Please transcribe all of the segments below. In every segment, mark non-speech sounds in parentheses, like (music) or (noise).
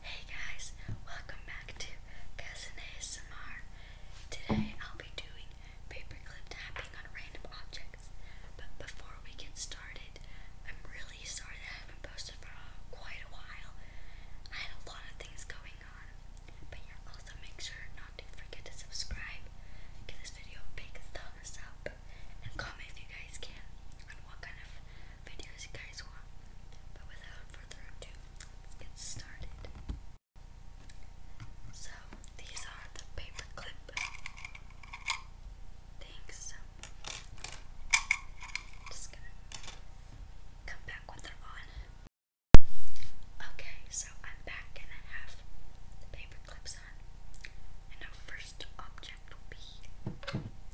Hey guys, welcome back to Cousin ASMR. Today I'll be doing paperclip tapping on random objects. But before we get started, I'm really sorry that I haven't posted for uh, quite a while. I had a lot of things going on. But yeah, also make sure not to forget to subscribe, give this video a big thumbs up, and comment if you guys can videos you So, these are the paper clip things. Just gonna come back when they on. Okay, so I'm back and I have the paper clips on. And our first object will be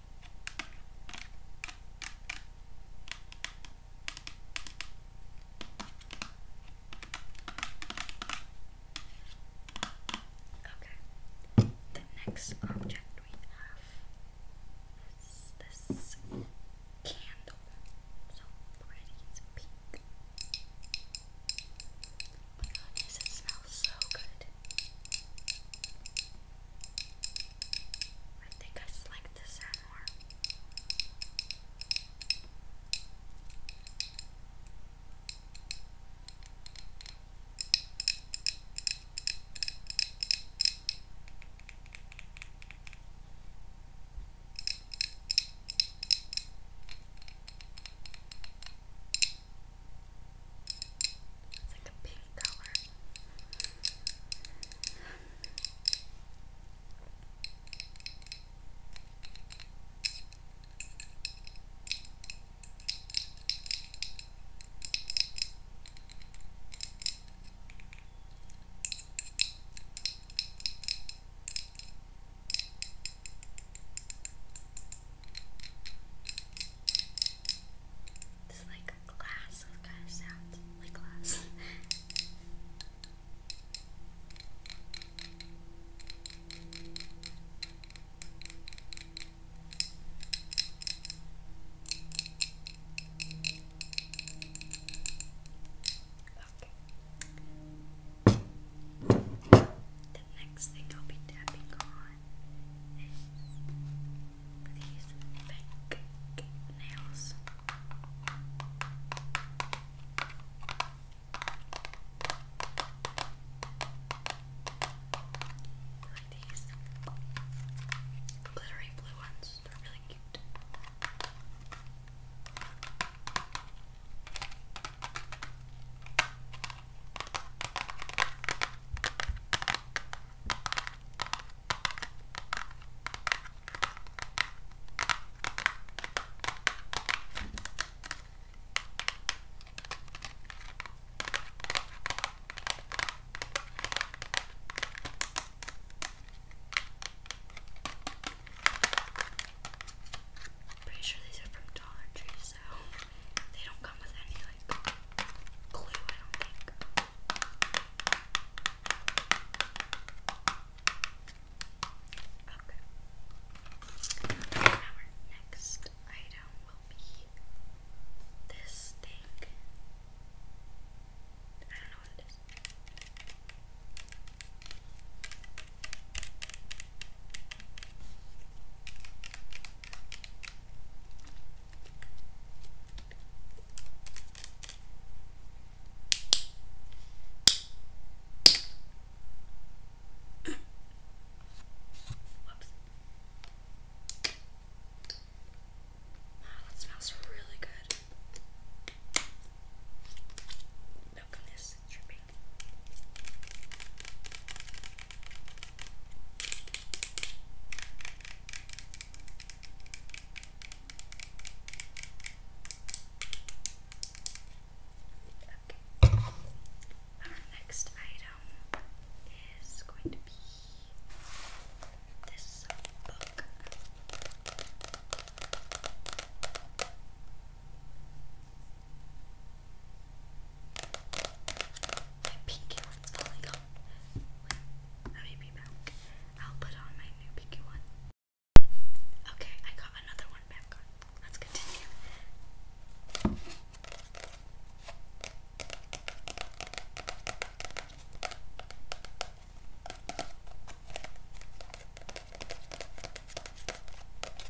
Okay. The next object we have is this candle. So pretty, it's pink. Oh my god, it smells so good. I think I just like this sound more. I it's like a pink color. I it's like a glass of kind of sound. Like glass. (laughs) Okay. The next thing I'll be tapping on is these fake nails. these glittery blue ones, they're really cute. Pretty sure these are from Dollar Tree, so they do Okay. our next item will be this thing. I don't know what it is. Whoops. Wow, that smells really good. Milk on this dripping. Okay. Our next item is going to be this book. My pinky one's falling off. let me be back. I'll put on my new pinky one. Okay, I got another one back on. Let's continue.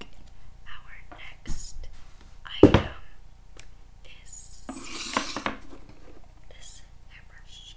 Okay, our next item is this hairbrush.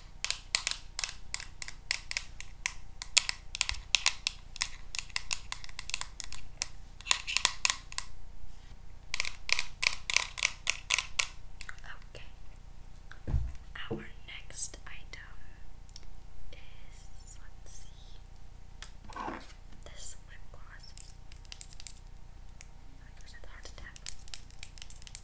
Okay, our next item is let's see this lip gloss. Oh my gosh, that's hard to tap.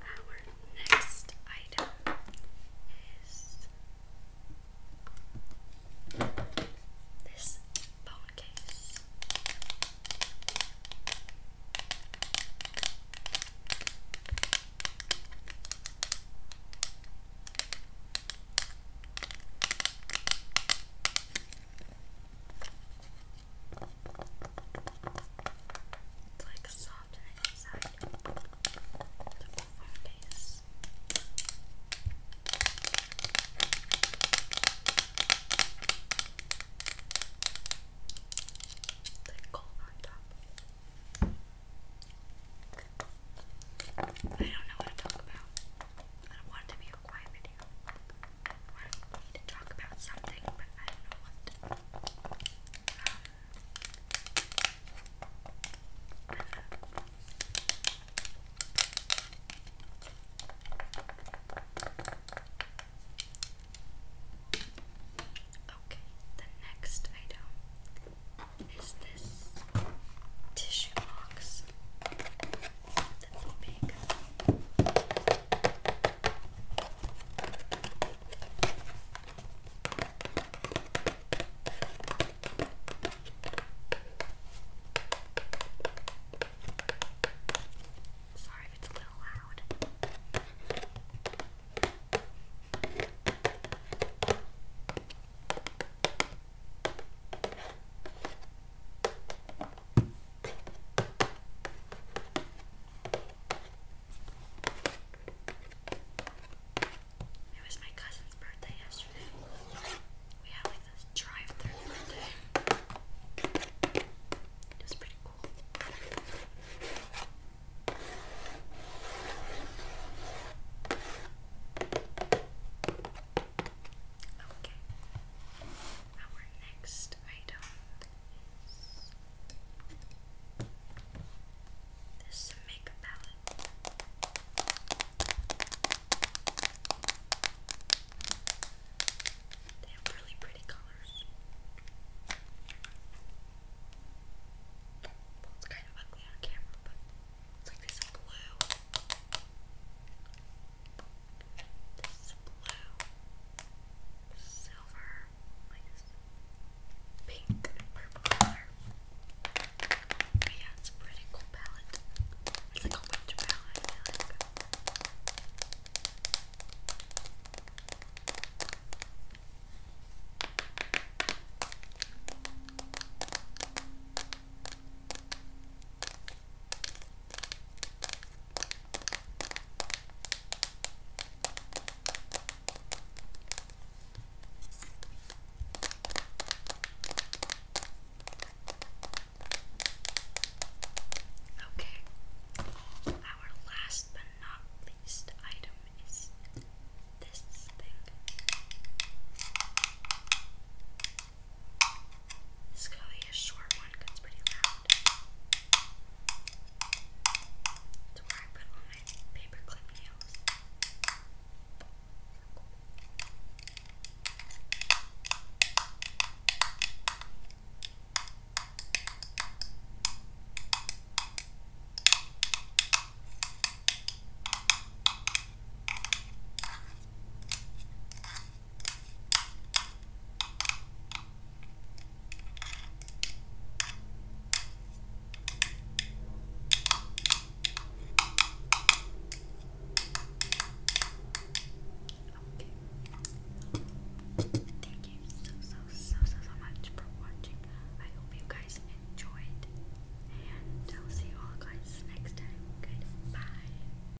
our next item is this phone case. It's like soft inside. The waffle base. The gold on top. I don't know what to talk about. I don't want it to be a quiet video. I want to talk about something, but I don't know what. Okay, the next item is this tissue box that's big. Sorry if it's a little loud. It was my cousin's birthday yesterday. We had like this drive through birthday. It was pretty cool. Okay. Our next item there's some makeup palette. They have really pretty colors. Well, it's kind of ugly on camera, but it's like this blue this blue, silver, like this pink purple color. But yeah, it's pretty cool palette. It's like a winter palette, Okay, our last but not least item is this thing. This is going to be a short one because it's pretty loud. To where I put all my paper nails. Thank you so so so so so much for watching. I hope you guys enjoyed and I'll see you all guys next time. Goodbye.